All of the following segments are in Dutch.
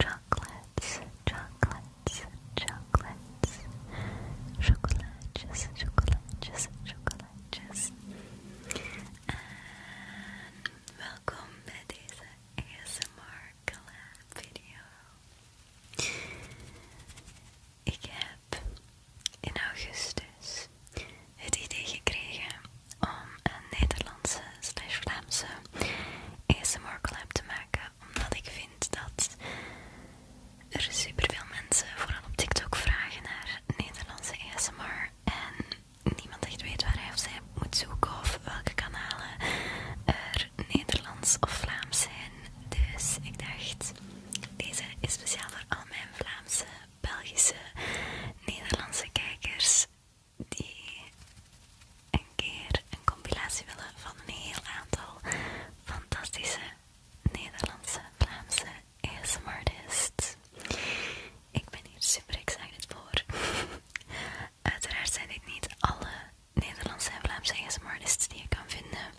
Chocolates, chocolates, chocolates. chocolatjes, chocolatjes, chocolatjes. En welkom bij deze ASMR collab video. Ik heb in augustus het idee gekregen om een Nederlandse slash Vlaamse ASMR collab te maken omdat ik vind dat er superveel mensen, vooral op TikTok, vragen naar Nederlandse ASMR en niemand echt weet waar hij of zij moet zoeken of welke kanalen er Nederlands of Vlaams zijn. Dus ik dacht, deze is speciaal voor al mijn Vlaamse, Belgische, Nederlandse kijkers die een keer een compilatie willen van een heel aantal fantastische Nederlandse, Vlaamse ASMRtists. Ik ben hier super excited voor. Uiteraard zijn dit niet alle Nederlandse en Vlaamse ASMRtists die je kan vinden,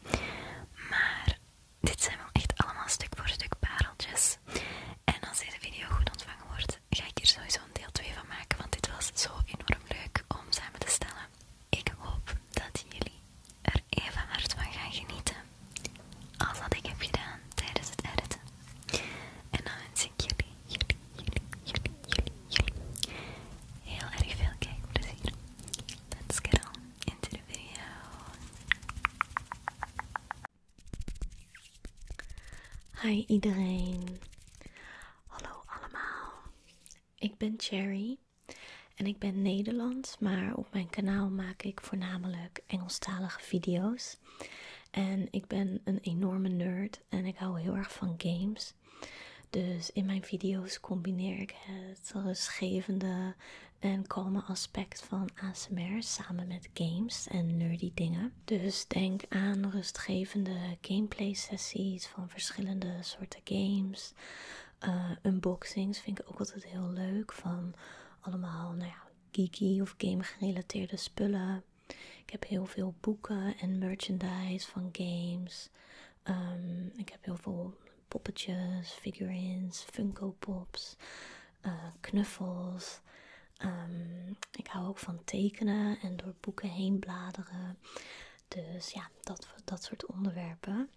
maar dit zijn wel echt allemaal stuk voor stuk pareltjes. En als deze video goed ontvangen wordt, ga ik hier sowieso een deel 2 van maken, want dit was zo enorm leuk om samen te stellen. Ik hoop dat jullie er even hard van gaan genieten als dat ik heb gedaan tijdens het editen. En dan wens ik jullie, jullie, jullie, jullie, jullie, jullie heel erg veel kijkplezier. Let's get on into the video. Hi iedereen. Hallo allemaal. Ik ben Cherry en ik ben Nederlands, maar op mijn kanaal maak ik voornamelijk Engelstalige video's. En ik ben een enorme nerd en ik hou heel erg van games. Dus in mijn video's combineer ik het rustgevende en kalme aspect van ASMR samen met games en nerdy dingen. Dus denk aan rustgevende gameplay sessies van verschillende soorten games. Eh, unboxings vind ik ook altijd heel leuk. Van allemaal, nou ja, geeky of game gerelateerde spullen. Ik heb heel veel boeken en merchandise van games. Ehm, ik heb heel veel poppetjes, figurines, Funko Pops, eh, knuffels. Ehm, ik hou ook van tekenen en door boeken heen bladeren. Dus ja, dat, dat soort onderwerpen.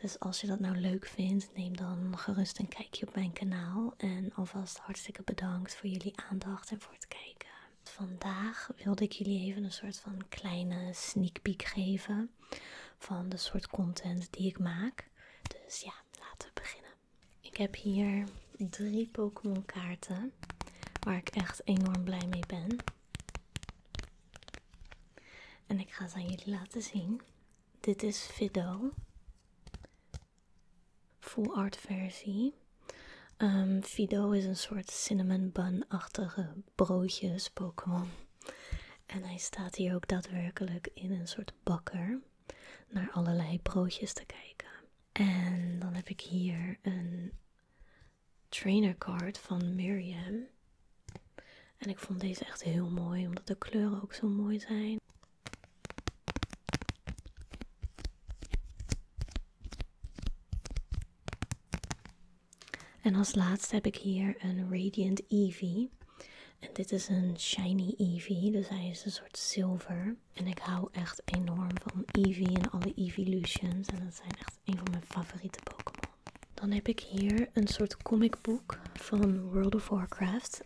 Dus als je dat nou leuk vindt, neem dan gerust een kijkje op mijn kanaal. En alvast hartstikke bedankt voor jullie aandacht en voor het kijken. Vandaag wilde ik jullie even een soort van kleine sneak peek geven van de soort content die ik maak. Dus ja, laten we beginnen. Ik heb hier drie Pokémon kaarten waar ik echt enorm blij mee ben. En ik ga het aan jullie laten zien. Dit is Fido. Full art versie. Ehm, Fido is een soort cinnamon bun-achtige broodjes Pokémon. En hij staat hier ook daadwerkelijk in een soort bakker naar allerlei broodjes te kijken. En dan heb ik hier een trainer card van Miriam. En ik vond deze echt heel mooi, omdat de kleuren ook zo mooi zijn. En als laatste heb ik hier een Radiant Eevee. En dit is een shiny Eevee, dus hij is een soort zilver. En ik hou echt enorm van Eevee en alle Eeveelutions. En dat zijn een van mijn favoriete Pokémon. Dan heb ik hier een soort comicboek van World of Warcraft.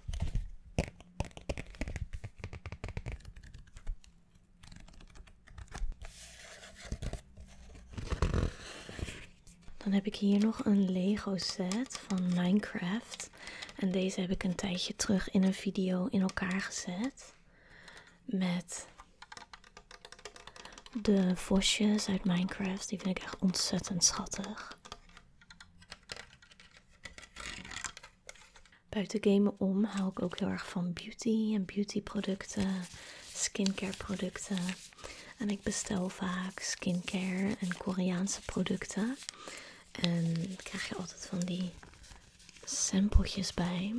Dan heb ik hier nog een Lego set van Minecraft. En deze heb ik een tijdje terug in een video in elkaar gezet met de vosjes uit Minecraft. Die vind ik echt ontzettend schattig. Buiten gamen om haal ik ook heel erg van beauty en beautyproducten, skincareproducten. En ik bestel vaak skincare en Koreaanse producten. En krijg je altijd van die sampletjes bij.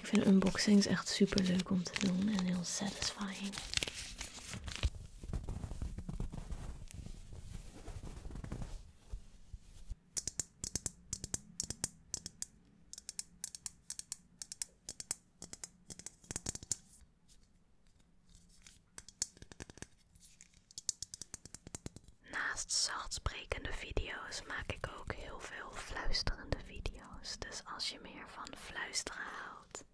Ik vind unboxings echt super leuk om te doen en heel satisfying. Naast zachtsprekende video's maak ik ook heel veel fluisterende video's. Dus als je meer van fluisteren houdt,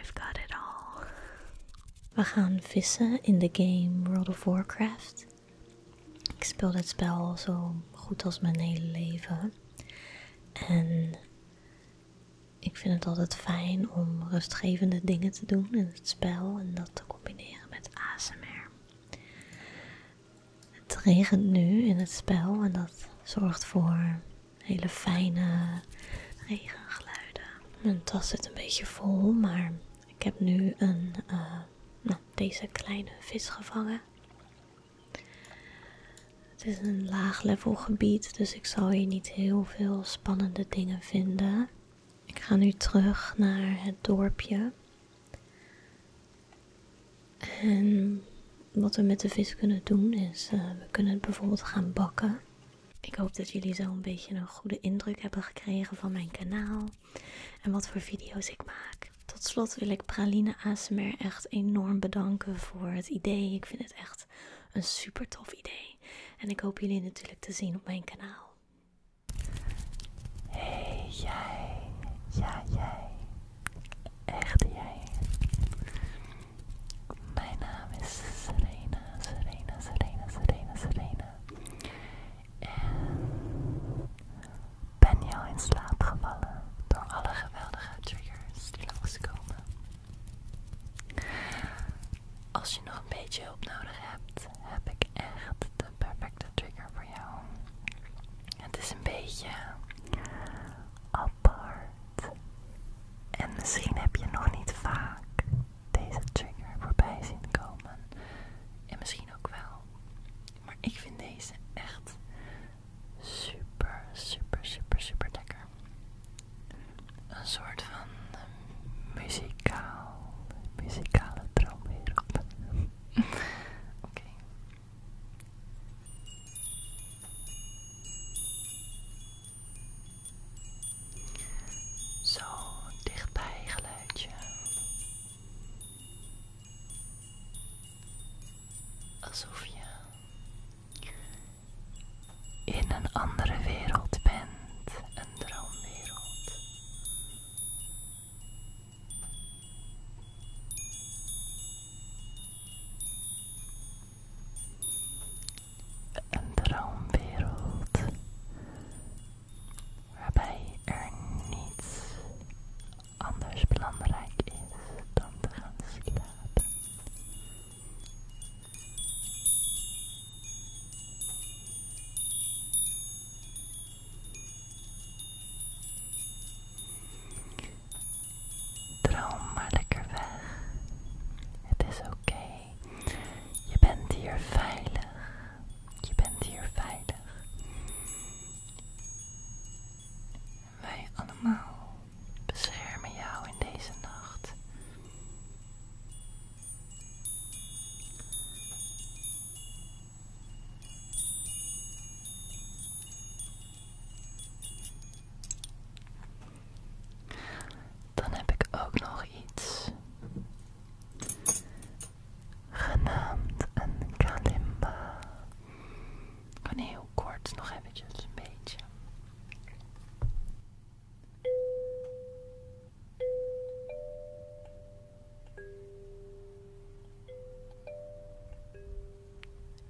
I've got it all. We gaan vissen in de game World of Warcraft. Ik speel dit spel zo goed als mijn hele leven. En ik vind het altijd fijn om rustgevende dingen te doen in het spel en dat te combineren met ASMR. Het regent nu in het spel en dat zorgt voor hele fijne regengeluiden. Mijn tas zit een beetje vol, maar ik heb nu een, eh, nou, deze kleine vis gevangen. Het is een laag level gebied, dus ik zal hier niet heel veel spannende dingen vinden. Ik ga nu terug naar het dorpje. En wat we met de vis kunnen doen is, eh, we kunnen het bijvoorbeeld gaan bakken. Ik hoop dat jullie zo een beetje een goede indruk hebben gekregen van mijn kanaal en wat voor video's ik maak. Tot slot wil ik Praline Asmer echt enorm bedanken voor het idee. Ik vind het echt een super tof idee. En ik hoop jullie natuurlijk te zien op mijn kanaal. Hey jij, ja jij, echt jij. Mijn naam is Serena, Serena, Serena, Serena, Serena. En ben jou in slaap gevallen door alle geweldige triggers die langs komen? Als je nog een beetje hulp nodig hebt, heb ik echt de perfecte trigger voor jou. Het is een beetje apart. En misschien heb je nog niet vaak deze trigger voorbij zien komen. En misschien ook wel. Maar ik vind deze echt super, super, super, super lekker. Een soort van eh, muzikaal, muzikale op. Oké, zo dichtbij geluidje. Alsof je in een andere wereld bent, een droomwereld. Een droomwereld waarbij er niets anders belangrijk is dan te gaan slapen. Droom maar lekker weg. Het is oké. Je bent hier veilig. Je bent hier veilig. Wij allemaal beschermen jou in deze nacht. Dan heb ik ook nog iets genaamd een kalimba. Kan heel kort nog even een beetje.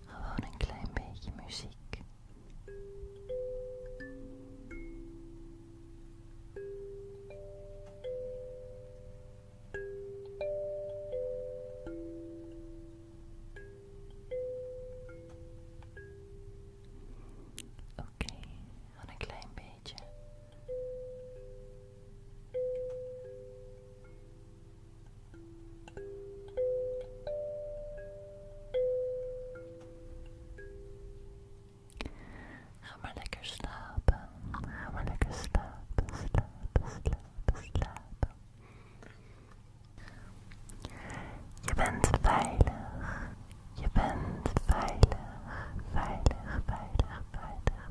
Gewoon een klein beetje muziek. een klein beetje. Hammer lekker slapen, hammer lekker slapen, slapen, slapen, slapen. Je bent veilig, je bent veilig, veilig, veilig, veilig, veilig,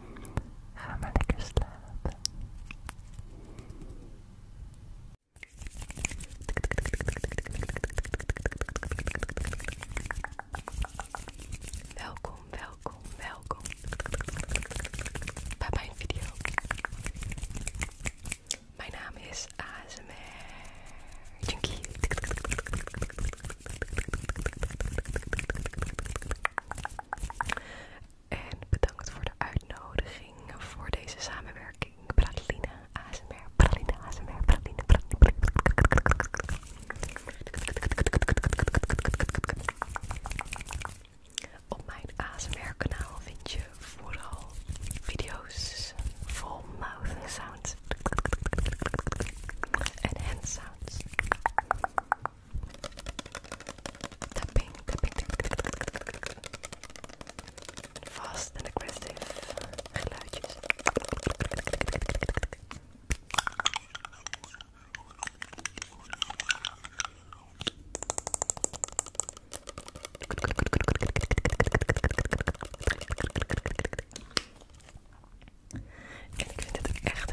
Welkom, welkom, welkom bij mijn video. Mijn naam is ASMR en bedankt voor de uitnodiging voor deze samenwerking. Praline ASMR, Praline ASMR, Praline, Op mijn ASMR kanaal vind je vooral video's full mouth sounds en hand sounds. Tapping, en aggressive geluidjes. En ik vind het echt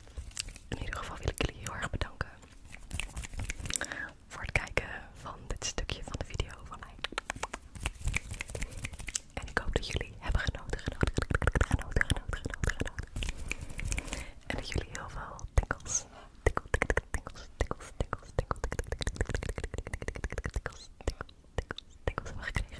In ieder geval wil ik jullie heel erg bedanken voor het kijken van dit stukje van de video van mij. En ik hoop dat jullie hebben genoten, genoten, genoten, genoten, genoten, En dat jullie heel veel tikkels, tikkels, tikkels, tikkels, tikkels, tikkels, tikkels, tikkels, tikkels, tikkels, tikkels, tikkels hebben gekregen.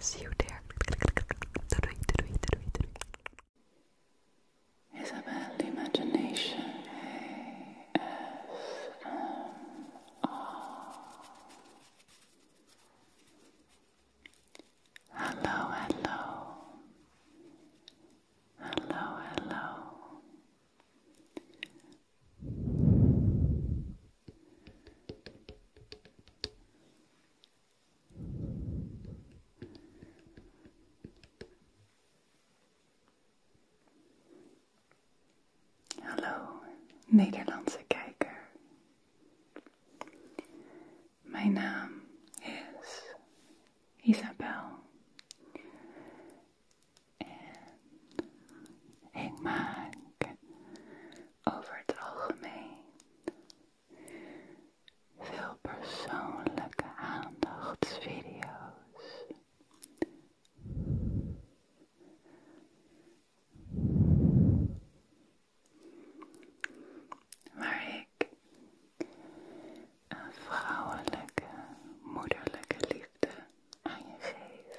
See you there. Isabel Imagination Hello, hello. Hello, hello. Hallo Nederlandse kijker. Mijn naam is Isabel. En ik maak over het algemeen veel persoonlijke aandachtsvideo's. Waar ik een vrouwelijke, moederlijke liefde aan je geef.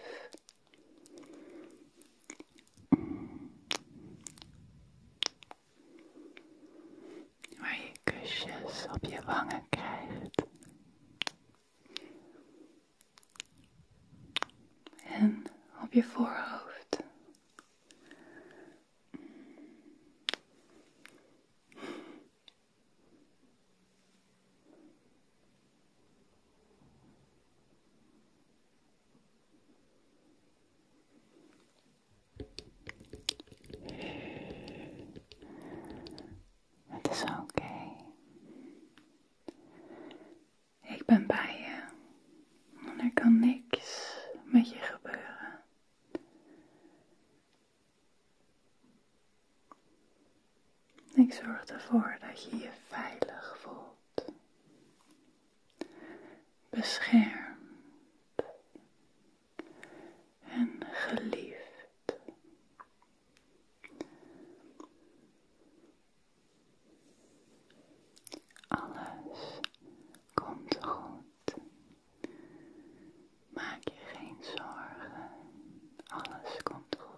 Waar je kusjes op je wangen krijgt. En op je voorhoofd. Het is oké. Ik ben bij je. er kan niks met je gebeuren. Ik zorg ervoor dat je je veilig voelt beschermd en geliefd. Alles komt goed. Maak je geen zorgen. Alles komt goed.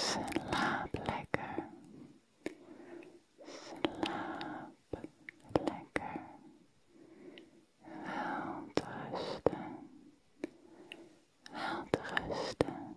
Slaap lekker. Slaap lekker. Wel te rusten. Wel te rusten.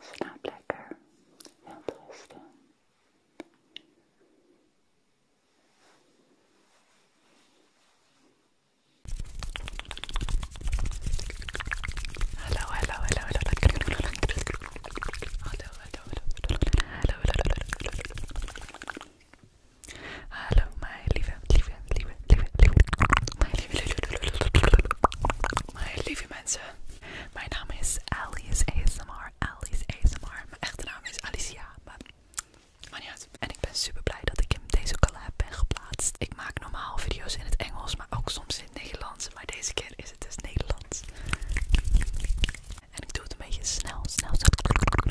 snap lekker en rusten. Hallo, hallo, hallo, hallo. Hallo, hallo, hallo. Hallo, hallo, hallo. Hallo, mijn lieve, lieve, lieve, lieve, lieve. My lieve, lieve, mensen. Mijn naam is Alice ASMR. Alice ASMR. Mijn echte naam is Alicia. Maar, maar En ik ben super blij dat ik in deze collab ben geplaatst. Ik maak normaal video's in het Engels, maar ook soms Nederlands, maar deze keer is het dus Nederlands. En ik doe het een beetje snel, snel.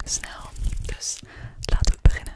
snel. Dus laten we beginnen.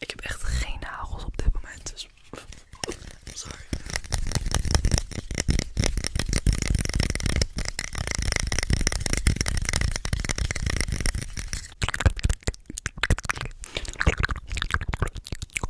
Ik heb echt geen nagels op dit moment, dus sorry.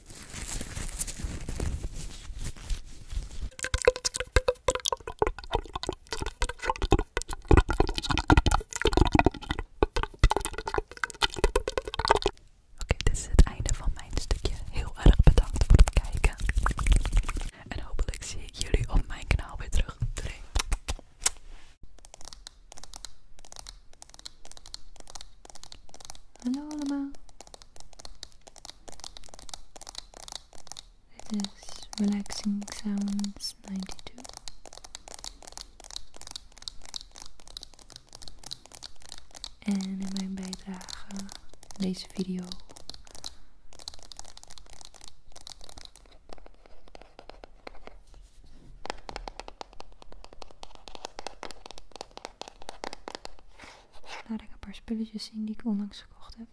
Oké, dit is het einde van mijn stukje. Heel erg bedankt voor het kijken. En hopelijk zie ik jullie op mijn kanaal weer terug. Hallo allemaal. Dit is Relaxing Sounds 92. En in mijn bijdrage deze video Laat ik een paar spulletjes zien die ik onlangs gekocht heb.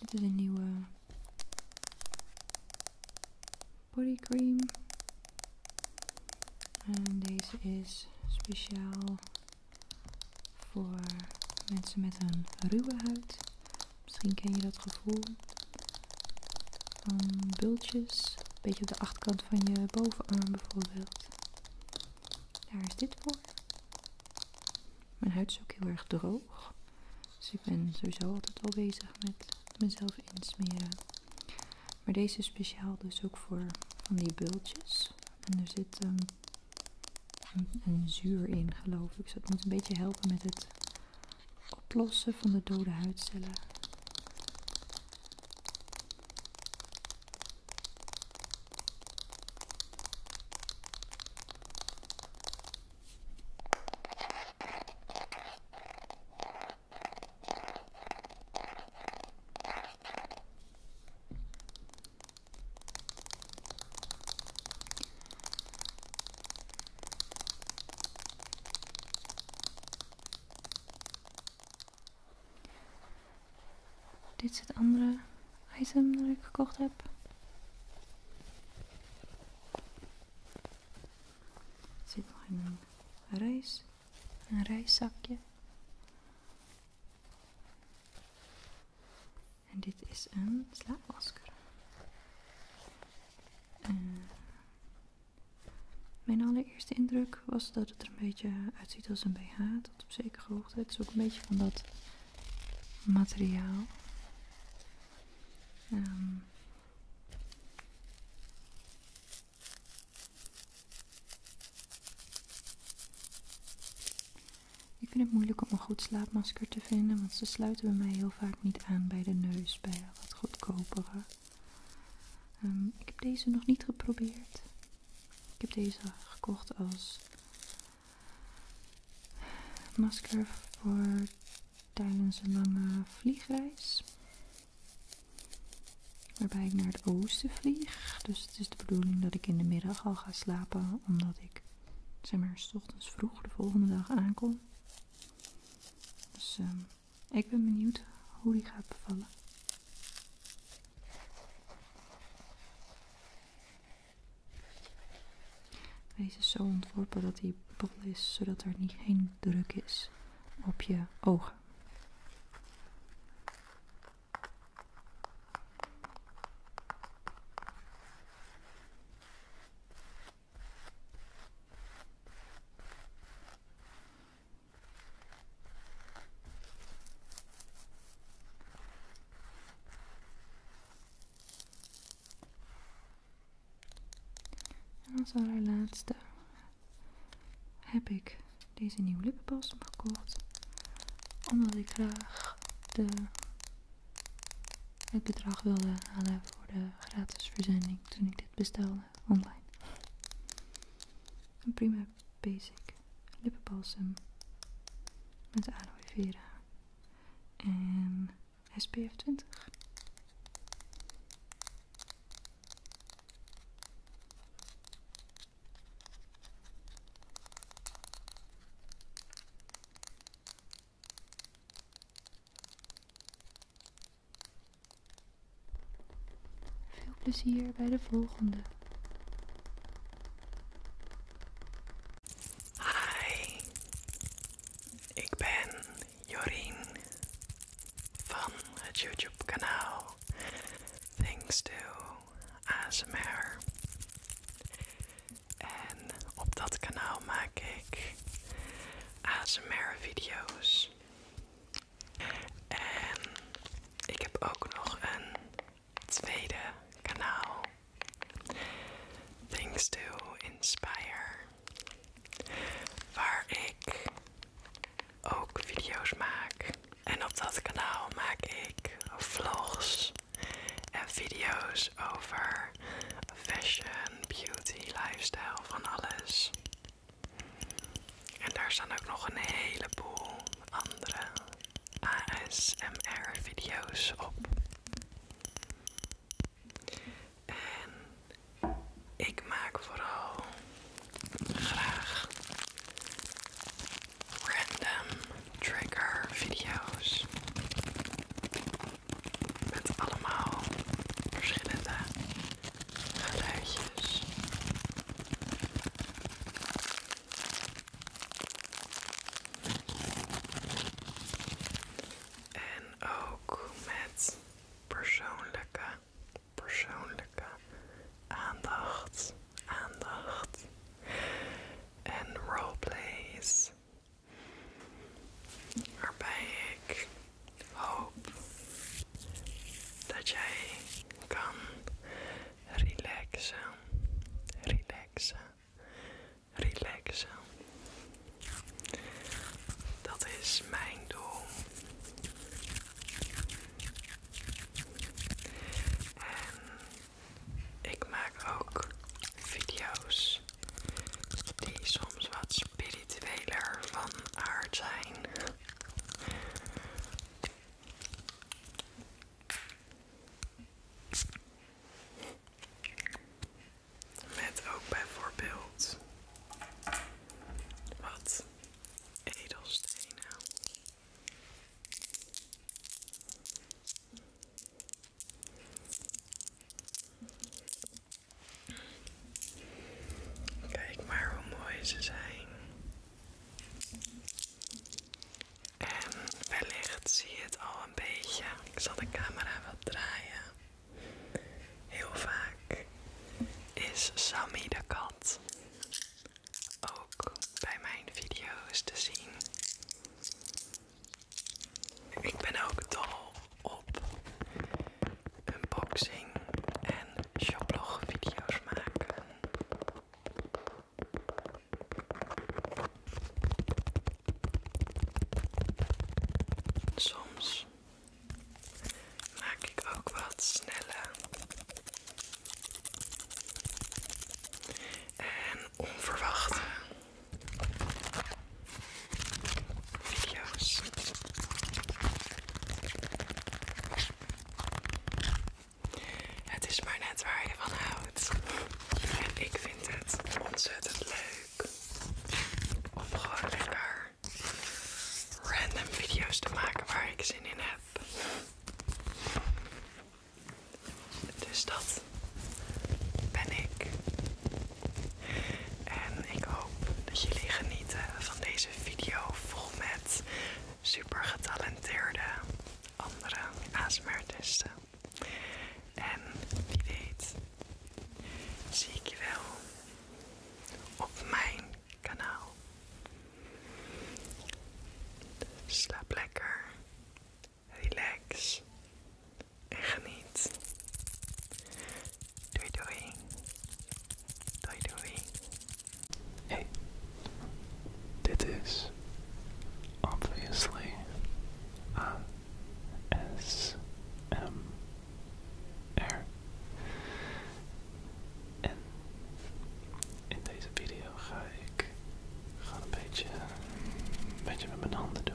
Dit is een nieuwe body cream. En deze is speciaal voor mensen met een ruwe huid. Misschien ken je dat gevoel van ehm, bultjes. Een beetje op de achterkant van je bovenarm bijvoorbeeld. Daar is dit voor. Mijn huid is ook heel erg droog. Dus ik ben sowieso altijd al bezig met mezelf insmeren. Maar deze is speciaal dus ook voor van die bultjes. En er zit um, een, zuur in, geloof ik. Dus moet een beetje helpen met het oplossen van de dode huidcellen. Dit is het andere item dat ik gekocht heb. Er zit nog een reis, een reiszakje. En dit is een slaapmasker. Eh, mijn allereerste indruk was dat het er een beetje uitziet als een BH, tot op zekere hoogte. Het is ook een beetje van dat materiaal. Ehm, ik vind het moeilijk om een goed slaapmasker te vinden, want ze sluiten bij mij heel vaak niet aan bij de neus, bij wat goedkopere. Ehm, ik heb deze nog niet geprobeerd. Ik heb deze gekocht als masker voor tijdens een lange vliegreis. Waarbij ik naar het oosten vlieg. Dus het is de bedoeling dat ik in de middag al ga slapen. Omdat ik, zeg maar, s ochtends vroeg de volgende dag aankom. Dus ehm, ik ben benieuwd hoe die gaat bevallen. Deze is dus zo ontworpen dat hij bol is, zodat er niet geen druk is op je ogen. En als allerlaatste heb ik deze nieuwe lippenbalsem gekocht. Omdat ik graag de het bedrag wilde halen voor de gratis verzending toen ik dit bestelde online. Een prima basic lippenbalsem met aloe vera en SPF 20. Veel plezier bij de volgende. Hi, ik ben Jorien van het YouTube kanaal Thanks to ASMR. En op dat kanaal maak ik ASMR video's. En ik heb ook nog een tweede kanaal. Things to Inspire. Waar ik ook video's maak. En op dat kanaal maak ik vlogs en video's over fashion, beauty, lifestyle, van alles. En daar staan ook nog een heleboel andere ASMR video's op. En ik maak vooral graag random trigger video's. Met allemaal verschillende geluidjes. En ook met persoonlijke, persoonlijke aandacht, aandacht en roleplays. Waarbij ik hoop dat jij kan relaxen, relaxen, relaxen. Dat is mijn doel. ik maak ook video's die soms wat spiritueler van aard zijn. Met ook bijvoorbeeld wat edelstenen. Kijk maar hoe mooi ze zijn. En wellicht zie je het al een beetje. Ik zal de camera wat draaien. Heel vaak is Sammy de kat ook bij mijn video's te zien. Ik ben ook dol op unboxing en shoplog video's maken. Soms maak ik ook wat snelle en onverwachte video's. Het is maar net waar je van houdt. En ik vind het ontzettend leuk om gewoon lekker random video's te maken waar ik zin in heb. Dus dat ben ik. En ik hoop dat jullie genieten van deze video vol met supergetalenteerde andere ASMR-artiesten. En wie weet, zie ik je wel op mijn kanaal. Slaap lekker, relax en geniet. Doei doei. Doei doei. Hey. Dit is obviously a S M R. En in deze video ga ik gewoon een beetje, een beetje met mijn handen doen.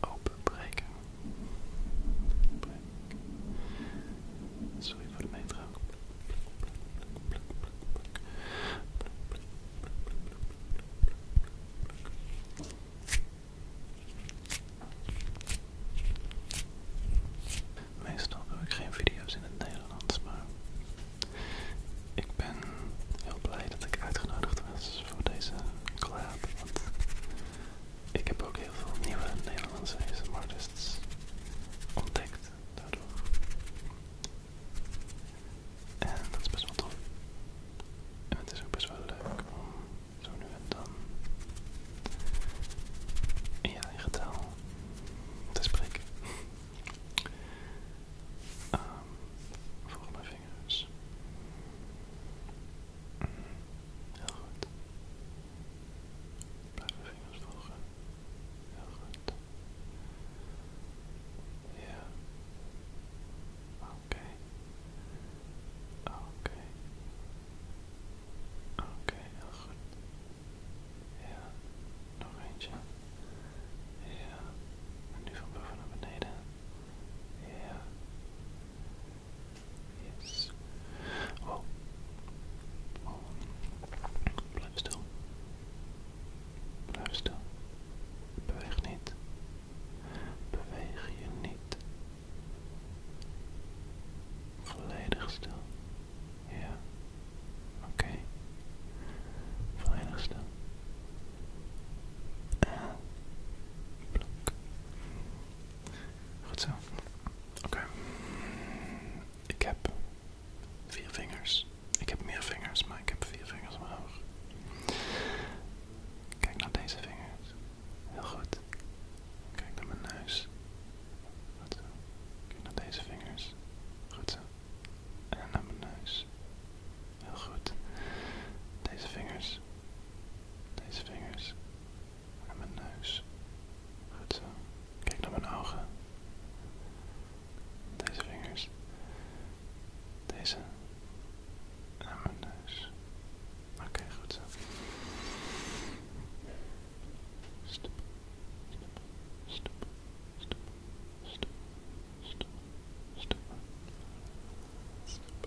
open openbreken. Sorry voor de metro. Meestal doe ik geen video's in het Nederlands, maar ik ben heel blij dat ik uitgenodigd was voor deze collab. Want ik heb ook heel veel nieuwe Nederlandse ASMR ontdekt daardoor. En dat is best wel tof. En het is ook best wel leuk om zo nu en dan in je te spreken. Um, volg mijn vingers. heel goed. Blijf mijn vingers volgen. Heel goed. Ja. Okay. Oké. Oké, heel goed. Ja, nog eentje. Ja, en nu van boven naar beneden. Ja. Yes. Oh. oh. Blijf stil. Blijf stil. Beweeg niet beweeg je niet. Volledig stil. Ja. Oké. Volledig stil. En. Goed zo. Oké. Ik heb vier vingers. Ik heb meer vingers, maar ik heb vier vingers omhoog. Kijk naar deze vingers. Heel goed. Kijk naar mijn neus. Goed zo. Kijk naar deze vingers. Goed zo. En naar mijn neus. Heel goed. Deze vingers. Deze vingers. En mijn neus. Goed zo. Kijk naar mijn ogen. Deze vingers. Deze. Aan mijn neus. Oké, goed zo. Stop. Stop. Stop. Stop. Stop. Stop. Stop. Stop. Stop.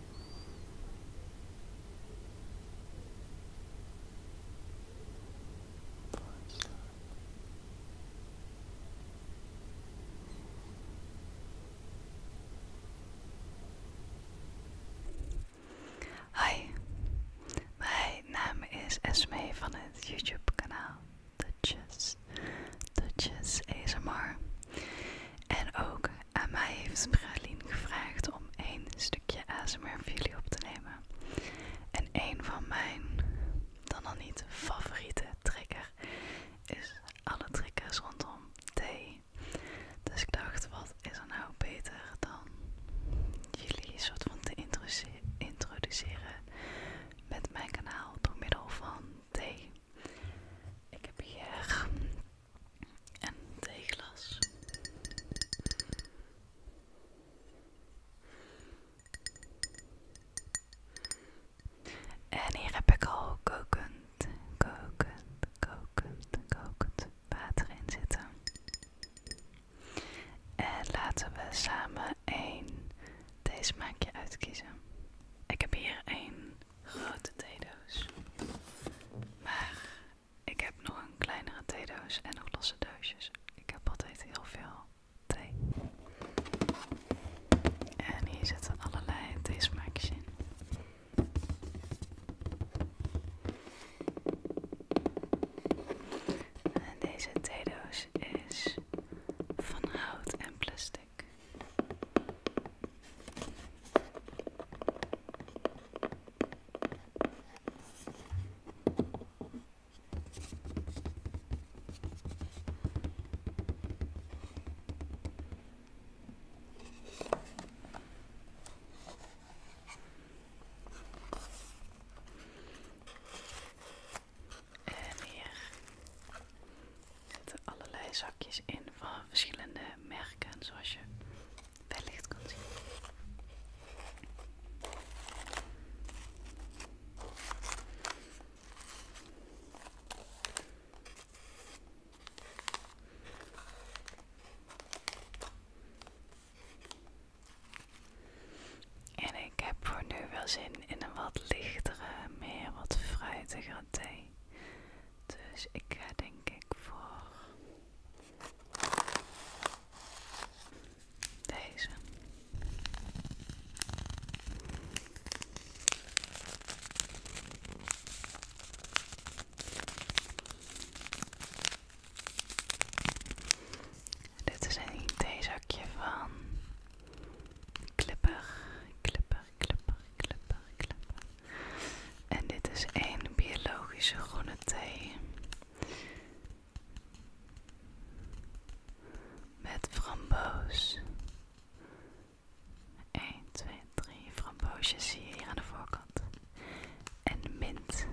Hi, mijn naam is Esme van het YouTube kanaal Dutches, Dutches ASMR. En ook aan mij heeft Praline gevraagd om één stukje ASMR voor jullie op te nemen. En een van mijn, dan al niet favoriete triggers is alle triggers rondom thee. Dus ik dacht, wat is er nou beter dan jullie soort van te introduceren met mijn kanaal door middel van thee. Ik heb hier een theeglas. En hier heb ik al kokend, kokend, kokend, kokend water in zitten. En laten we samen één deze maakje uitkiezen. Ik heb hier een grote theedoos. Maar ik heb nog een kleinere theedoos en nog losse doosjes. Ik heb altijd heel veel thee. En hier zitten allerlei theesmaakjes in. En deze theedoos is van hout en plastic. En hier zitten allerlei zakjes in van verschillende merken, zoals je wellicht kunt zien. En ik heb voor nu wel zin in een wat lichtere, meer wat fruitige thee. Dus ik ga denk ik voor deze. Dit is een theezakje van Clipper. Clipper klepper, klepper, klepper. En dit is één biologische groene thee. Met framboos. 1, 2, 3 framboosjes zie je hier aan de voorkant. En mint.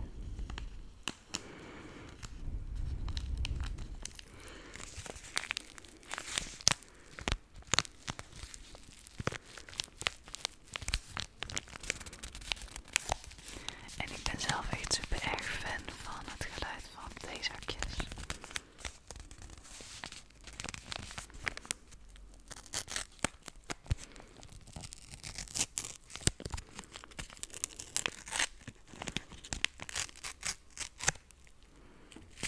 En ik ben zelf echt super erg fan van het geluid van theezakjes.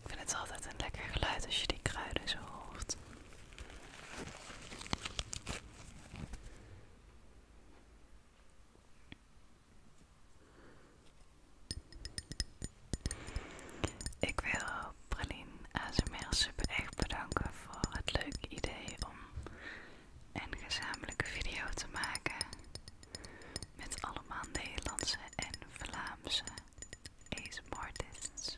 Ik vind het altijd een lekker geluid als je die kruiden zo hoort. Ik wil Praline ASMR super echt bedanken voor het leuke idee om en gezamenlijke video te maken met allemaal Nederlandse en Vlaamse ASMRtists.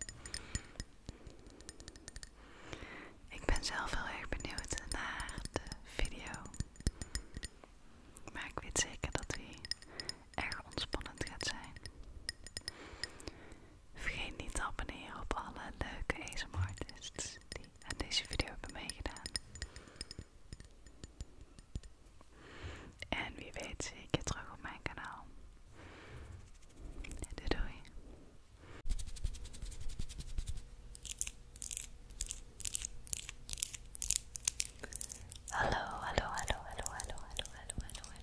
Ik ben zelf heel erg benieuwd naar de video, maar ik weet zeker dat die erg ontspannend gaat zijn. Vergeet niet te abonneren op alle leuke ASMRtists en deze video hebben meegedaan. En wie weet zie ik je terug op mijn kanaal. Doei doei. Hallo, hallo, hallo, hallo, hallo, hallo, hallo, hallo,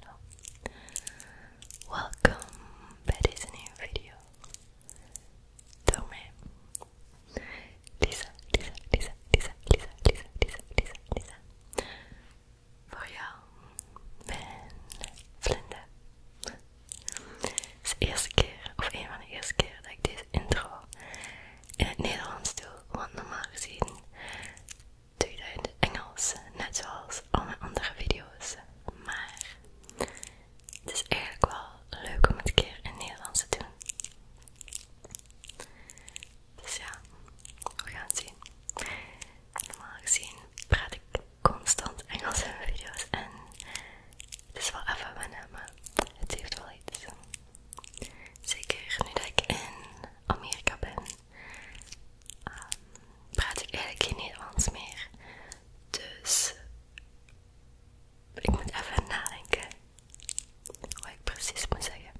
hallo. Welkom bij deze nieuwe video. Tomé. Lisa, Lisa, Lisa, Lisa, Lisa, Lisa, Lisa, Lisa, Lisa. Voor jou mijn Vlinder. Het is de eerste keer, of een van de eerste keer dat ik deze intro in het Nederlands doe, want normaal gezien doe ik dat in het Engels, net zoals al mijn andere video's. Maar het is eigenlijk wel leuk om het keer in Nederlands te doen. Dus ja, we gaan het zien. Normaal gezien praat ik constant Engels in mijn video's en het is wel even wennen, maar het heeft wel iets. Zeker nu dat ik in Amerika ben, ehm, praat ik eigenlijk geen Nederlands meer. Dus ik moet even nadenken wat ik precies moet zeggen.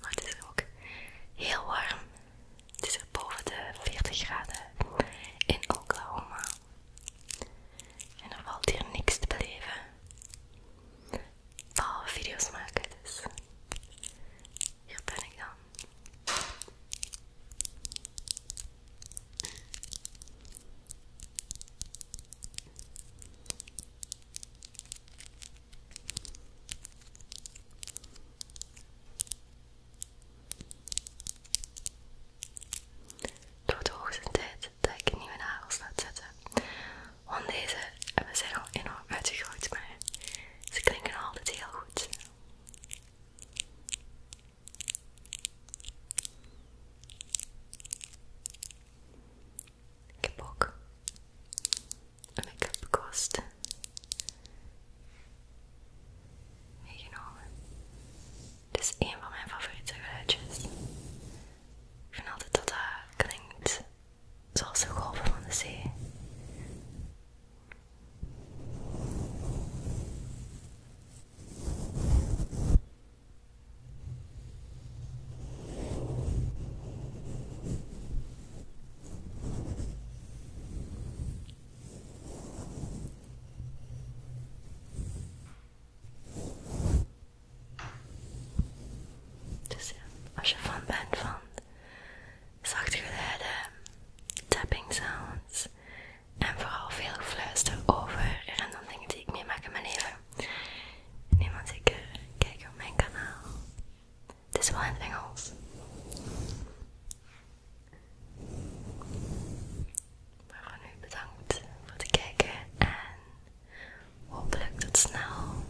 Maar het is ook heel warm. Het is er boven de 40 graden in Oklahoma. En er valt hier niks te beleven. Behalve video's maken, dus hier ben ik dan. Het wordt hoogste tijd dat ik nieuwe nagels laat zetten. Want deze hebben zijn al enorm uitgegroeid, maar ze klinken altijd heel goed. Ik heb ook een make-up meegenomen. Dit is een van mijn favoriete geluidjes. Ik vind altijd dat dat klinkt zoals de golven van de zee. Dus ja, als je fan bent van zachte geluiden, tapping sounds en vooral veel gefluister over random dingen die ik meemaak in mijn leven. Niemand zeker kijken op mijn kanaal. Het is wel in het Engels. Maar voor nu bedankt voor het kijken en hopelijk tot snel.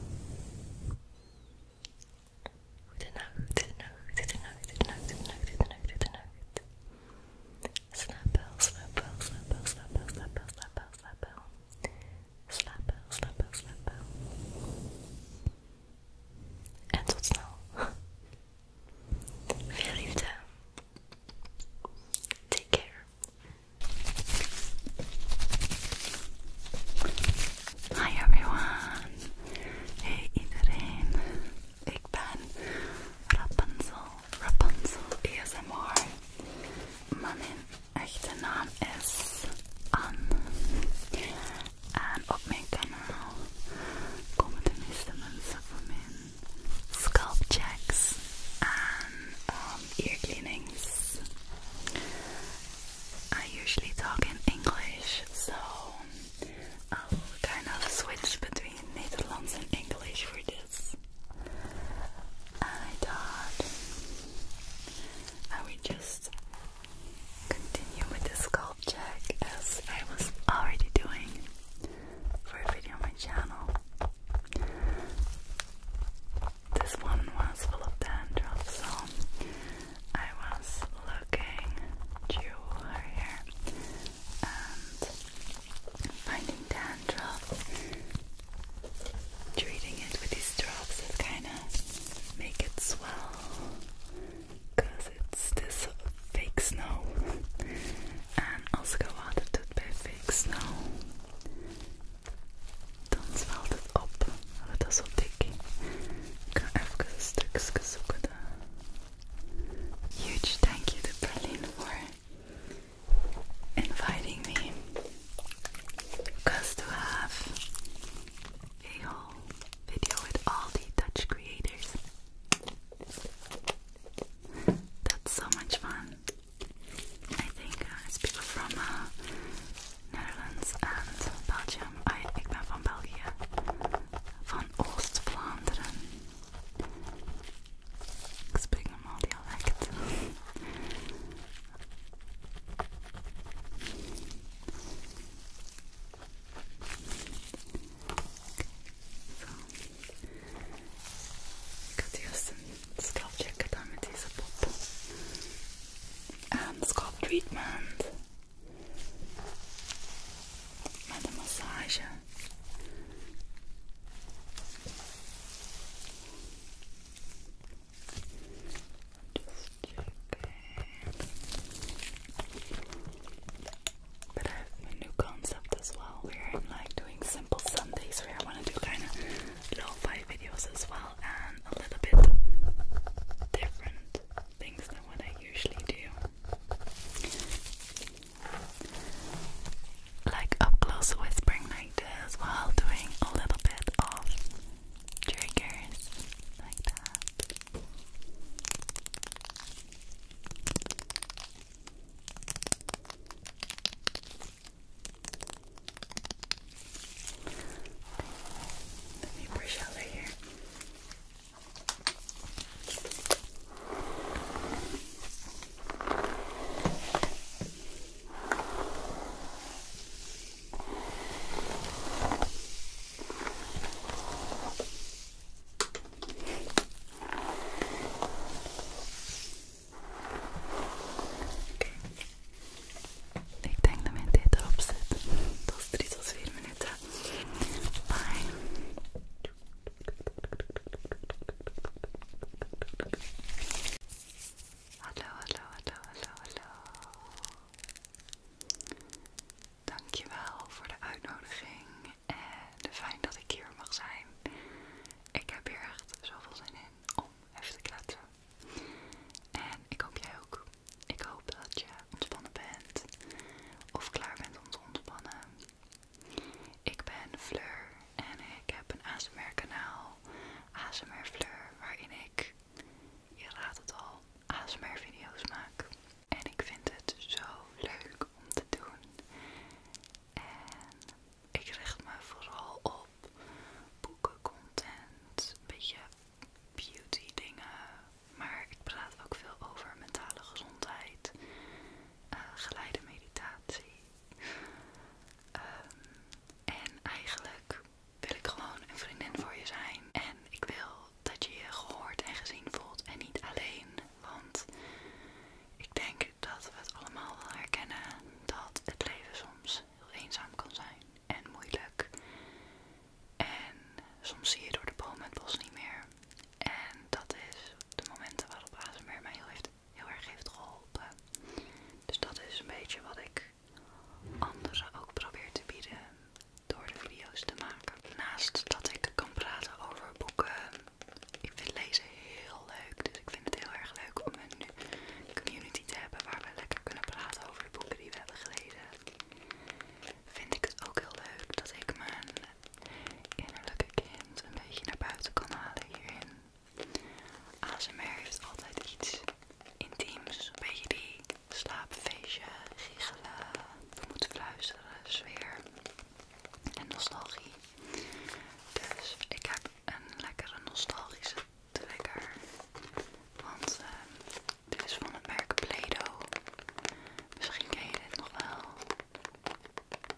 Goedenacht, goedenacht, goedenacht, goedenacht, goedenacht, goedenacht, Snapple, snapple, snapple, snapple, snapple, snapple, snapple. Snapple, snapple, snapple. En tot snel. Veel liefde. Take care. Hi everyone. Hey iedereen ik ben Rapunzel, Rapunzel ASMR. Mijn echte naam is Anne. En op mijn kanaal komen de meeste mensen voor mijn scalp checks en ehm, ear cleanings. I usually talk in English, so I'll um, kind of switch between Netherlands and English for this. I thought I would just continue with the scalp check as I was already doing for a video on my channel. This one was full of dandruff, so I was looking to her hair and finding dandruff, treating it with these drops that kind of make it swell because it's this fake snow and also go out of it by fake snow dan zwelt het op want dat is zo dik ik ga even stukjes zoeken huge thank you to Berlin for inviting me because to have a whole video with all the Dutch creators that's so much fun I think uh, from uh, Netherlands and Belgium I, ik ben van België van oost Ik spreek normaal dialect. Ik had eerst een scalpcheck gedaan met deze pop. En scalp treatment. Met een massage. But I have a new concept as well We're like doing simple Sundays where I want to do kind of little five videos as well and a little bit different things than what I usually do like up close whispering like this while doing a little bit of triggers like that. Let me brush out here. Ik denk dat mijn tijd erop zit. Dat is drie tot vier minuten. Bye. Hallo, hallo, hallo, hallo, hallo. Dankjewel voor de uitnodiging en fijn dat ik hier mag zijn. Ik heb hier echt zoveel zin in om even te kletsen. En ik hoop jij ook. Ik hoop dat je ontspannen bent of klaar bent om te ontspannen. Ik ben Fleur en ik heb een ASMR kanaal, ASMR Fleur, waarin ik, je raadt het al, ASMR video's maak. En ik vind het zo leuk om te doen. En ik richt me vooral op content, een beetje beauty dingen, maar ik praat ook veel over mentale gezondheid, eh, geleide meditatie Ehm, en eigenlijk wil ik gewoon een vriendin voor je zijn. En ik wil dat je je gehoord en gezien voelt en niet alleen. Want ik denk dat we het allemaal wel herkennen dat het leven soms heel eenzaam kan zijn en moeilijk. En soms zie je door de bomen het bos niet meer. En dat is de momenten waarop ASMR mij heel heeft heel erg heeft geholpen. Dus dat is een beetje wat ik anderen ook probeer te bieden door de video's te maken. Naast dat ik kan praten over boeken, ik vind lezen heel leuk. Dus ik vind het heel erg leuk om een community te hebben waar we lekker kunnen praten over de boeken die we hebben gelezen. Vind ik het ook heel leuk dat ik mijn innerlijke kind een beetje naar buiten kan halen hierin. ASMR heeft altijd iets intiems, beetje die slaapfeestje, giechelen, we moeten fluisteren, sfeer en nostalgie. Dus ik heb een lekkere nostalgische trigger, want ehm, dit is van het merk Play-Doh. Misschien ken je dit nog wel.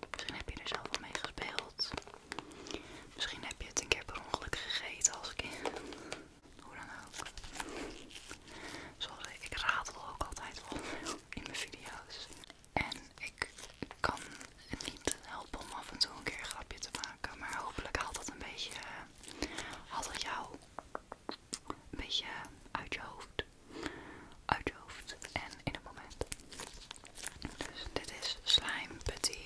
Misschien heb je er zelf al mee gespeeld. Misschien heb je het een keer per ongeluk gegeten als kind. Hoe dan ook. Sorry, ik ratel ook altijd wel in mijn video's. En ik kan het niet helpen om af en toe een keer een grapje te maken. Maar hopelijk haalt dat een beetje... Haalt dat jou een beetje uit je hoofd. Uit je hoofd en in het moment. Dus dit is Slime Putty.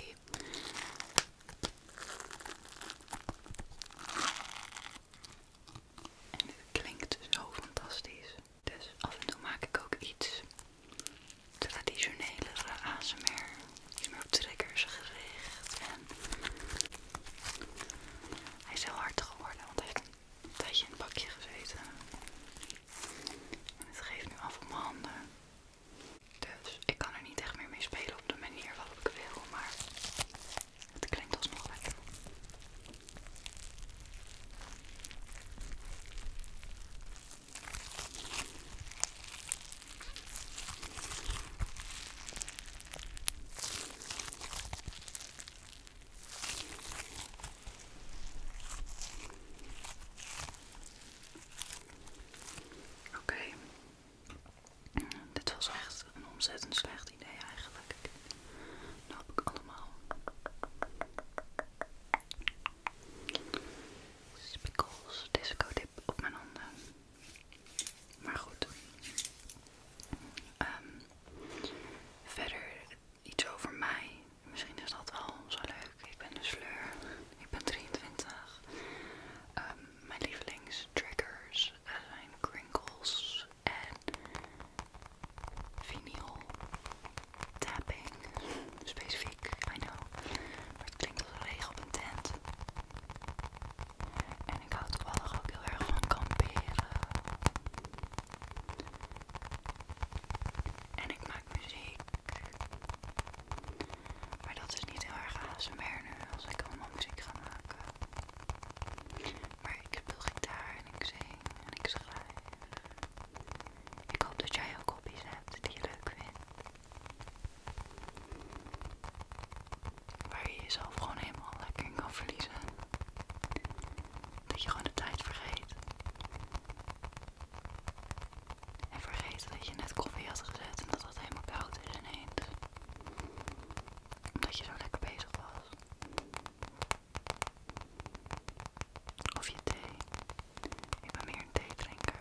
En dit klinkt zo fantastisch. Dus af en toe maak ik ook iets traditionelere ASMR. meer op triggers gericht. En hij is heel hard geworden, want hij heeft een tijdje in het bakje gezeten het geeft nu af op mijn handen. Dus ik kan er niet echt meer mee spelen op de manier waarop ik wil, maar het klinkt alsnog lekker. Oké. Dit was echt een ontzettend slecht idee eigenlijk. Dat heb ik allemaal. Spikkels, disco dip op mijn handen. Maar goed. Ehm, verder, iets over mij. Misschien is dat wel zo leuk. Ik ben de Fleur. Ik ben 23. Mijn ehm, mijn lievelingstriggers zijn crinkles en vinyl tapping. Specifiek, I know. Maar het klinkt als regen op een tent. En ik hou toevallig ook heel erg van kamperen. En ik maak muziek. Maar dat is niet heel erg ASMR als ik allemaal muziek ga maken. Maar ik speel gitaar en ik zing en ik schrijf. Ik hoop dat jij ook kopjes hebt die je leuk vindt. Waar je jezelf gewoon helemaal lekker in kan verliezen. Dat je gewoon de tijd vergeet. En vergeten dat je net koffie had gezet en dat dat helemaal koud is ineens. Omdat je zo lekker bezig was. Of je thee. Ik ben meer een theetrinker.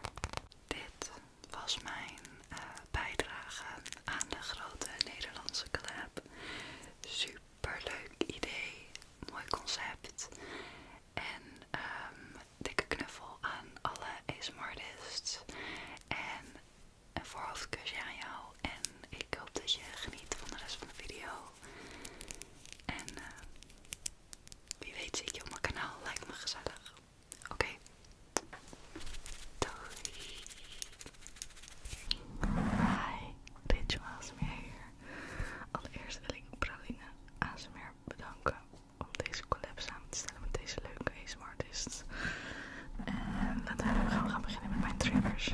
Dit was mijn eh, bijdrage aan de grote Nederlandse club. Super leuk idee. Mooi concept. En een ehm, dikke knuffel aan alle ASMRtists. En een voorhoofdkusje aan jou. En ik hoop dat je geniet van de rest van de video. En eh, wie weet zie ik je op mijn kanaal. like me gezellig. Oké. Doei. Hi, Rituals meer hier. Allereerst wil ik Praline ASMR bedanken om deze collab samen te stellen met deze leuke ASMR artists. En laten we gaan, we gaan beginnen met mijn triggers.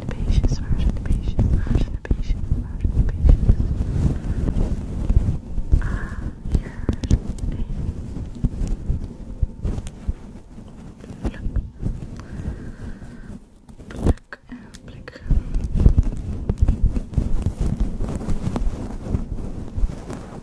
Where's the patience? Where's the patience? Where's the Ah, here's a pluck. and pluck.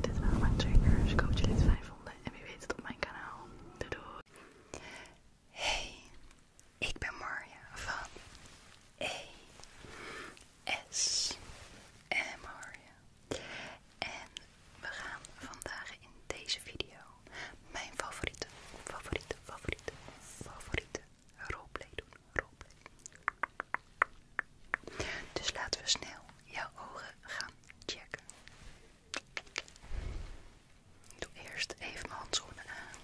Dit waren mijn triggers. Ik hoop dat jullie het fijn vonden. En wie weet het op mijn kanaal. Doei Hey, ik ben Marja van ES en Marja. En we gaan vandaag in deze video mijn favoriete, favoriete, favoriete, favoriete roleplay doen. Roleplay. Dus laten we snel jouw ogen gaan checken. doe eerst even mijn handschoenen aan.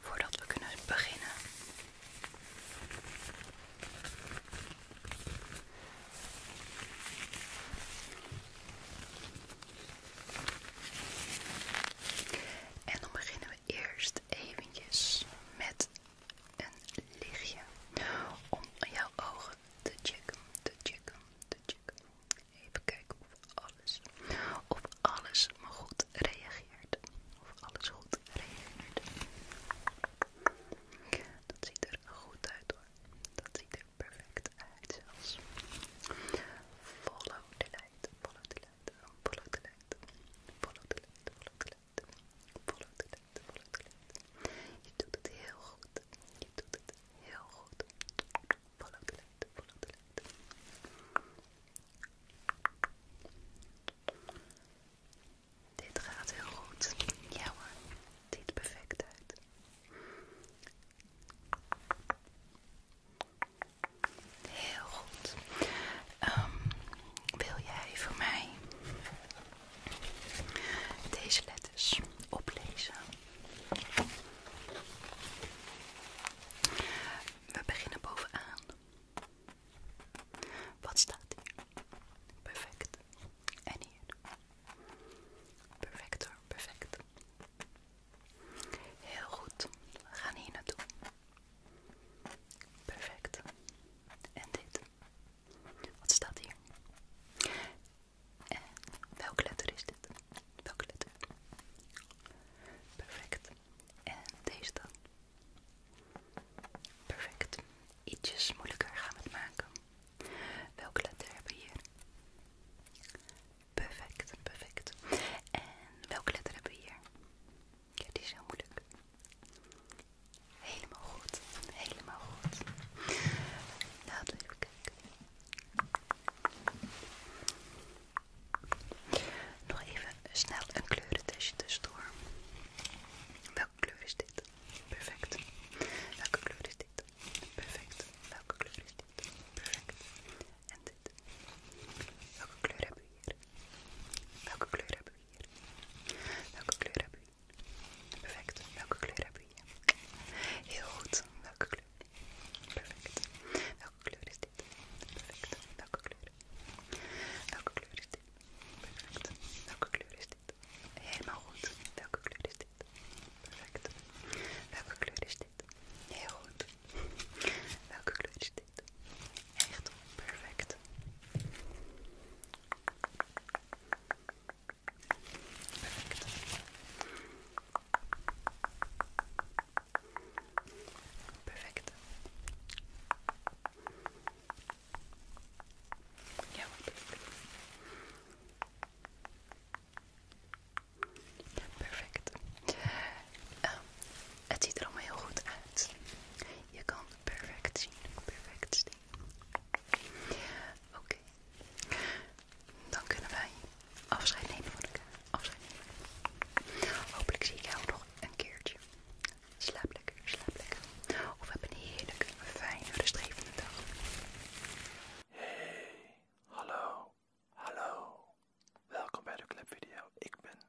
Voordat we kunnen beginnen. En dan beginnen we eerst eventjes met een lichtje om jouw ogen te checken, te checken, te checken. Even kijken of alles, of alles maar goed reageert. Of alles goed reageert. Dat ziet er goed uit hoor. Dat ziet er perfect uit zelfs. Follow the light, follow the light lead, follow the lead, follow the lead, follow the lead, Je doet het heel goed, je doet het heel goed. Follow the lead, follow Dit gaat heel goed, ja hoor, Dit ziet perfect uit. Heel goed. Ehm, wil jij voor mij deze letters oplezen? We beginnen bovenaan. Wat staat hier? Perfect. En hier. Perfect hoor, perfect. Heel goed. We gaan hier naartoe. Perfect. En dit. Wat staat hier? En welke letter is dit? Welke letter? Perfect. En deze dan? Perfect. Iets moeilijker gaan we het maken. Welke letter hebben we hier? Perfect, perfect. En welke letter hebben we hier? Ja, die is heel moeilijk. Helemaal goed. Helemaal goed. Laten nou, we even kijken. Nog even snel een kleurentestje tussendoor. Welke kleur is dit? Perfect. Welke kleur is dit? Perfect. Welke kleur is dit? Perfect. En dit. Welke kleur hebben we hier? Welke kleur hebben we Welke kleur heb je? Perfect. Welke kleur heb je? Heel goed. Welke kleur? Perfect. Welke kleur is dit? Perfect. Welke kleur? Welke kleur is dit? Perfect. Welke kleur is dit? Helemaal goed. Welke kleur is dit? Perfect. Welke kleur is dit? Heel goed. Welke kleur is echt perfect. Perfect. Perfect. Ja, perfect. Ehm, het ziet er allemaal heel goed uit. Je kan Perfect zien, perfect zien. Oké, dan kunnen wij afscheid nemen van elkaar. Afscheid nemen. Hopelijk zie ik jou nog een keertje. Slaap lekker, slaap lekker. Of heb een heerlijke, fijne, rustgevende dag. Hey, hallo, hallo. Welkom bij de clubvideo. Ik ben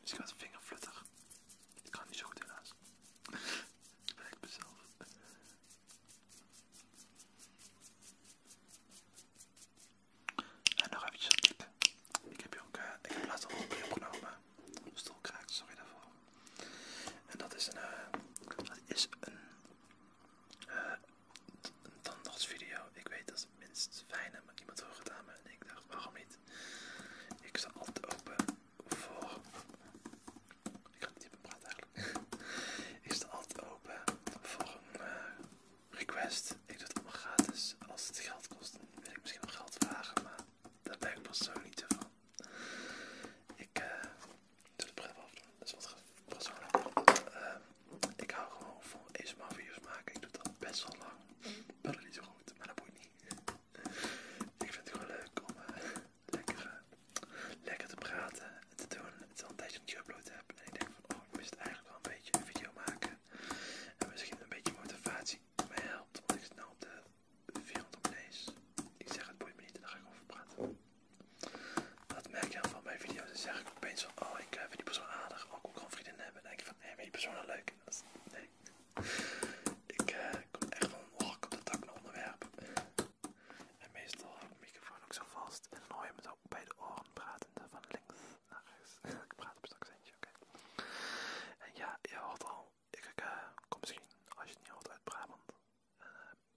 Misschien dus vinger vingerflutter. Ik kan niet zo goed helaas. Dat ben ik mezelf. En nog eventjes Ik heb hier ook, een eh, ik heb laatst een opgenomen. Mijn stoel kraakt, sorry daarvoor. En dat is een, eh, dat is een, eh, een tandartsvideo. Ik weet dat het minst fijne, maar iemand wil gedaan en ik dacht waarom niet. Ik zal altijd open voor. Ik ga niet meer praten eigenlijk. ik sta altijd open voor een eh, request. Ik doe het allemaal gratis. Als het geld kost, wil ik misschien nog geld vragen, maar daar ben ik persoonlijk niet van. Ik uh, doe het prima afdoen, dat is wat persoonlijk. Ehm, ik hou gewoon van ASMR video's maken. Ik doe dat best wel lang. Mm. Maar dat is niet zo goed, maar dat boeit niet. Ik vind het gewoon leuk om eh, eh, lekker, te praten en te doen. Het is altijd een tijdje je upload heb. En ik denk van, oh, ik mis het eigenlijk wel een beetje een video maken. En misschien een beetje motivatie mij helpt. Want ik zit nou op de 400 abonnees. Ik zeg het boeit me niet en daar ga ik over praten. Dat merk je heel van mijn video's. Dan zeg ik opeens van, oh, ik eh, vind die persoon aardig. Ook oh, ik gewoon vrienden hebben. En denk ik van, hé, wie ben je persoon leuk? dat is, eh, ik kom echt van hak op de tak naar onderwerpen. En meestal heb ik de microfoon ook zo vast. En dan hoor je me ook bij de oren praten. Van links naar rechts. ik praat op een accentje, oké. En ja, je hoort al. Ik eh, kom misschien, als je het niet hoort, uit Brabant. Eh,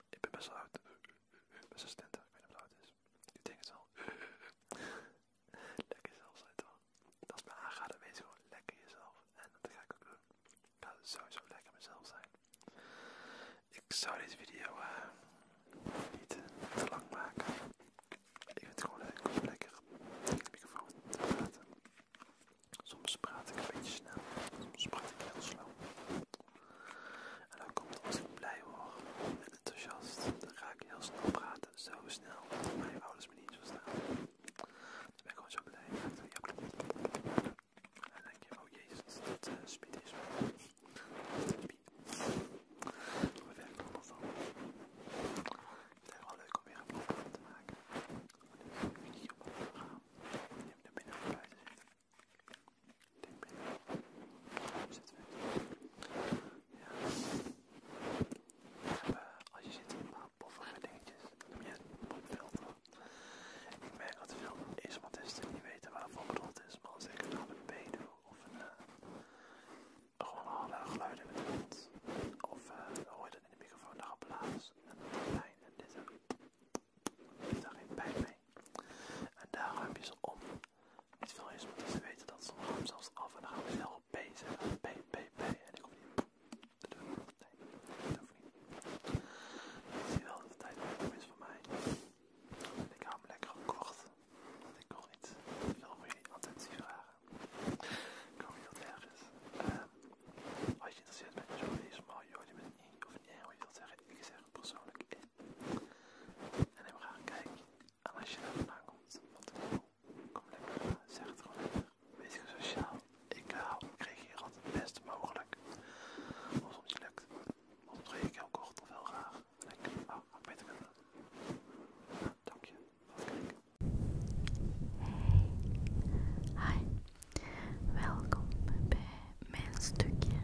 ik ben best wel oud. Best wel Ik weet niet of het oud is. Ik denk het wel. lekker zelfs toch Dat is mijn weet Wees gewoon lekker jezelf. En dat ga ik ook doen. Dat zou zo lekker mezelf zijn. Ik zou deze video eh, niet te lang maken. Ik vind het gewoon leuk om lekker in de microfoon te praten. Soms praat ik een beetje snel, soms praat ik heel slow. En dan komt als ik blij word en enthousiast, dan ga ik heel snel praten. Zo snel dat mijn ouders me niet verstaan ik ben gewoon zo blij met jouw kleur. En dan denk je, oh jezus, dat uh, speed is. Eh, We verder allemaal van. Het is wel leuk om weer een programma te maken. Neem de op te gaan. Je Ja. als je zit in een paar boffige dingetjes, dan heb je het popfilter. Ik merk dat veel e niet weten waarvoor bedoeld is, maar als ik een HDP doe of een, uh, gewoon harde geluiden in de mond, of uh, hoor je dat in de microfoon, dan applaus en pijn en dit en heb daar geen pijn mee. En daar ruim je ze om. Niet veel e weten dat ze zelfs af en dan gaan we snel op P zeggen. en ik kom niet ik zie wel dat de tijd goed is voor mij. ik hou hem lekker kort. Want ik wil niet veel voor jullie attentie vragen. Ik hoop niet dat erg ehm, als je interesseert bent in zo'n deze maar joh, je bent een of een hoe je dat zeggen. Ik zeg persoonlijk in. En dan gaan een kijken. En als je daar vandaan komt, wat ik wil, kom lekker. Eh, zeg het gewoon Weet je, sociaal. Ik eh, hou, ik hier altijd het best mogelijk. Als het niet lukt, dan reageer ik heel kort of heel graag. lekker op oh, Nou, Wat Hey. Hi. Welkom bij mijn stukje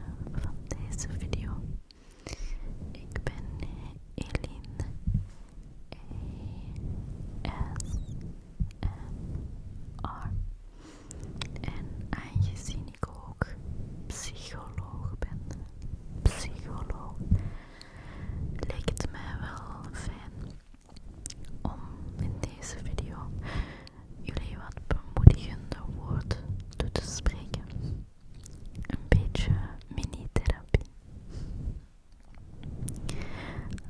van deze video. Ik ben Eline. A e R. En aangezien ik ook psycholoog ben, psycholoog, leek het mij wel fijn om in deze video jullie wat bemoedigende woorden toe te spreken. Een beetje mini-therapie.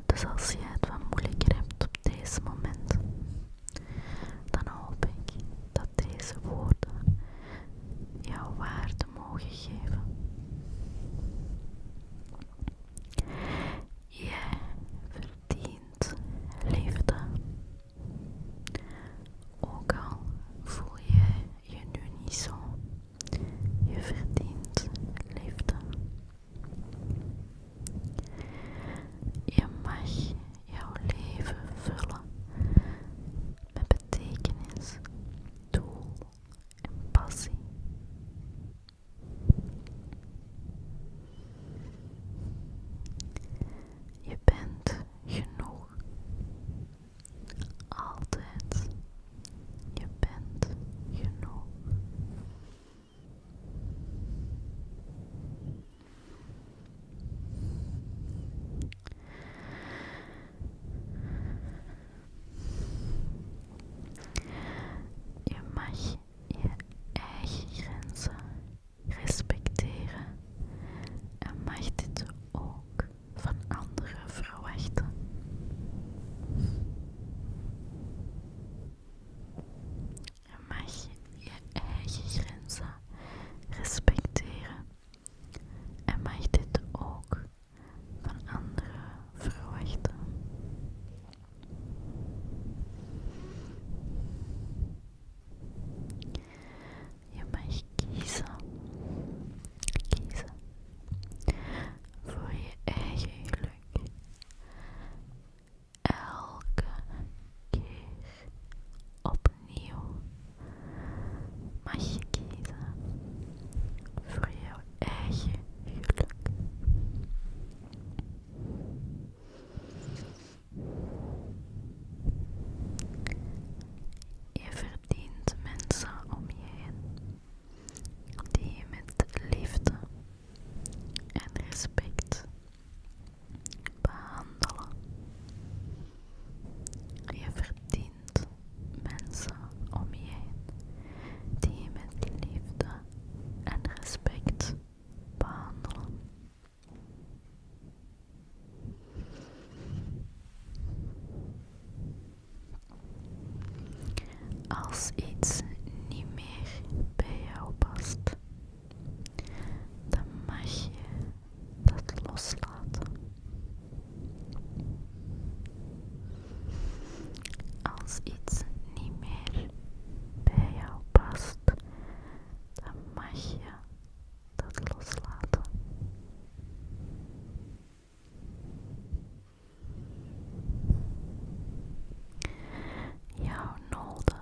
Dus als je het wat moeilijker hebt op deze moment, dan hoop ik dat deze woorden jouw waarde mogen geven. Jij verdient liefde. Ook al voel je je nu niet zo, je verdient liefde. Je mag jouw leven vullen met betekenis, doel en passie. Je bent genoeg. Altijd. Je bent genoeg. Je mag je eigen grenzen respecteren en mag dit ook van anderen verwachten. Je mag je eigen grenzen respecteren en mag dit ook van anderen verwachten. Je mag kiezen, kiezen voor je eigen geluk elke keer opnieuw mag je kiezen voor jouw eigen geluk. Je verdient mensen om je heen die je met liefde en respect behandelen. Je verdient mensen om je heen die je met liefde en respect behandelen. Als iets niet meer bij jou past, dan mag je dat loslaten. Als iets niet meer bij jou past, dan mag je dat loslaten. Jouw noden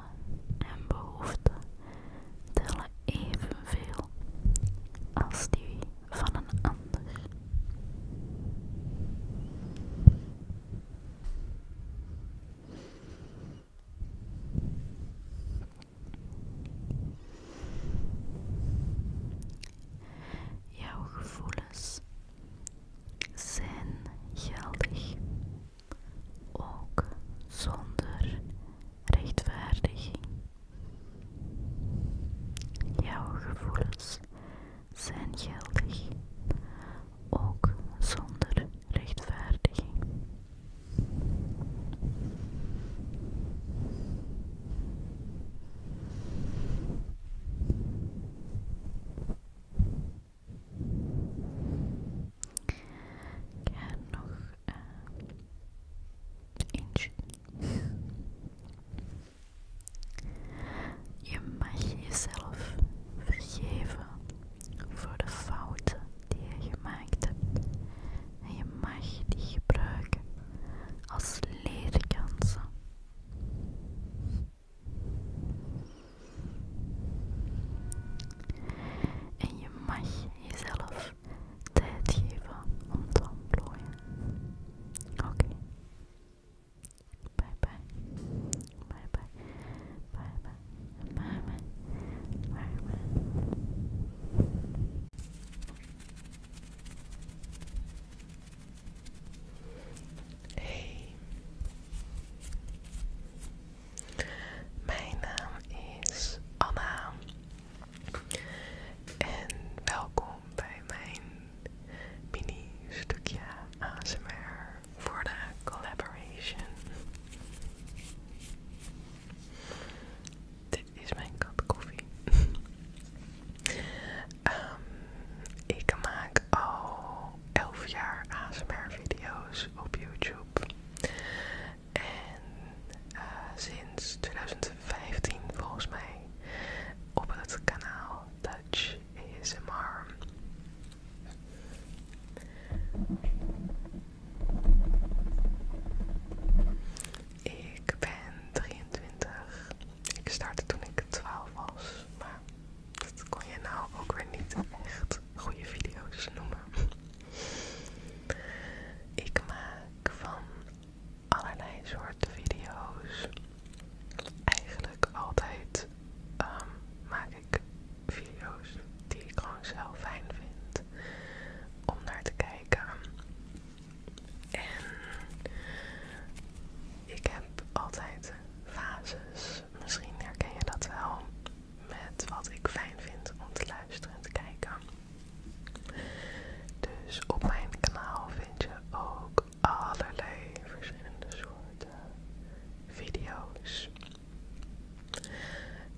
en behoeften tellen evenveel als die van een ander. Jouw gevoelens zijn geldig ook zonder rechtvaardiging. Jouw gevoelens zijn geldig, ook zonder rechtvaardiging. Ik ga nog eh, Je mag jezelf vergeven voor de fouten die je gemaakt hebt. En je mag die gebruiken als leerkansen. En je mag jezelf tijd geven om te ontplooien. Oké. Bye bye. Bye bye. Bye bye. Bye bye. Bye bye. Hey, mijn naam is Anna en welkom bij mijn mini stukje ASMR voor de collaboration. Dit is mijn kat ehm, ik maak al 11 jaar ASMR-video's op YouTube. En eh, sinds 2015 volgens mij op het kanaal Dutch ASMR. Ik ben 23. Ik startte toen ik 12 was, maar maar dat kon je nou ook weer niet echt goede video's noemen. Ik maak van allerlei soorten video's. Eigenlijk altijd ehm, maak ik video's die ik gewoon zo fijn vind om naar te kijken. En ik heb altijd fases misschien herken je dat wel met wat ik fijn vind om te luisteren en te kijken. Dus op mijn kanaal vind je ook allerlei verschillende soorten video's.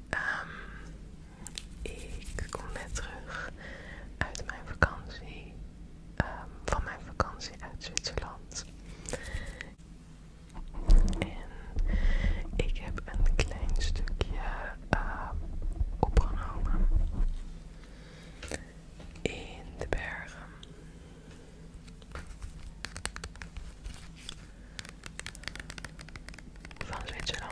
Ehm, ik kom net terug uit mijn vakantie, ehm, van mijn vakantie uit Zwitserland ik heb een klein stukje eh, opgenomen in de bergen. Van Zwitserland.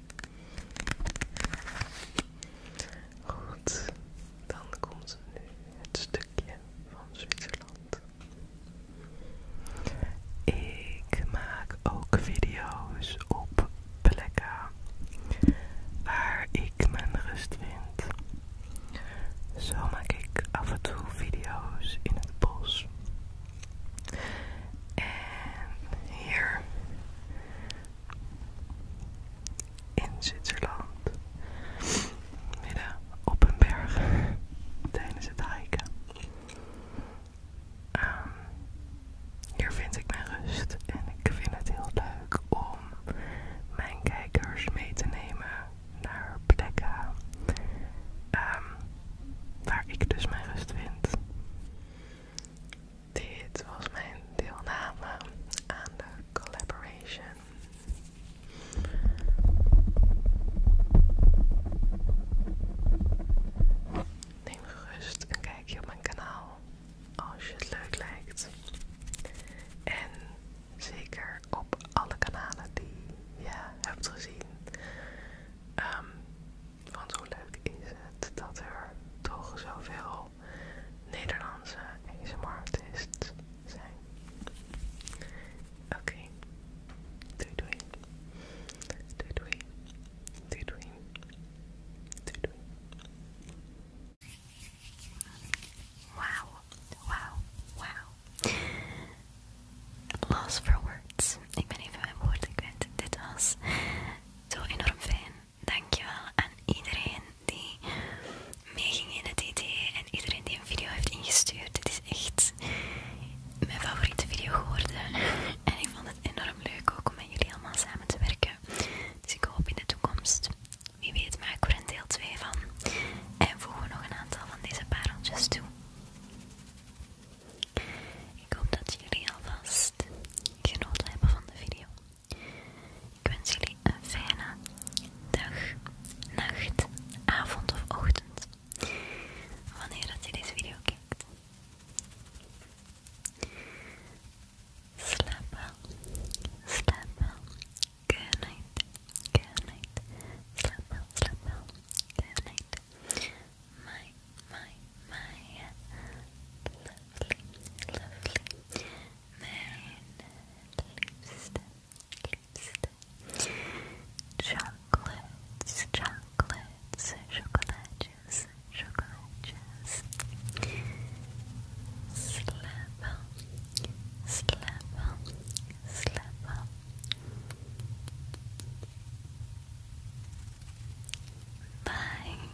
Goed, dan komt nu het stukje van Zwitserland. Ik maak ook video's op plekken waar ik mijn rust vind. Zo maak ik af en toe video's in het bos. En hier in Zwitserland, midden op een berg tijdens het hiken. Ehm, hier vind ik mijn rust en ik vind het heel leuk om mijn kijkers mee te nemen naar plekken ehm, waar ik dus mijn rust vind. Dit was mijn deelname aan de collaboration. Neem gerust een kijkje op mijn kanaal als je het leuk lijkt. En zeker op alle kanalen die je hebt gezien. Ehm, want hoe leuk is het dat er toch zoveel Nederlandse ASMR-artist zijn. Oké, okay. doei doei. Doei doei. Doei doei. Wauw, wauw, wauw. Lost for words. Ik ben even mijn woorden kwijt. Dit was zo enorm fijn dankjewel aan iedereen die ging in het idee en iedereen die een video heeft ingestuurd. Dit is echt mijn favoriete video geworden. En ik vond het enorm leuk ook om met jullie allemaal samen te werken. Dus ik hoop in de toekomst, wie weet, maken ik er een deel 2 van. En voegen we nog een aantal van deze pareltjes toe. Ik hoop dat jullie alvast genoten hebben van de video. Ik wens jullie een fijne dag, nacht, avond of ochtend. Wanneer dat je deze video kijkt. Slap wel, slap wel. Good night, good night. slap wel, slap wel. Good night. My, my, my lovely, lovely moon, lipstick, chocolates, chocolates, chocolates, chocolates, slap, slap, slap. Bye.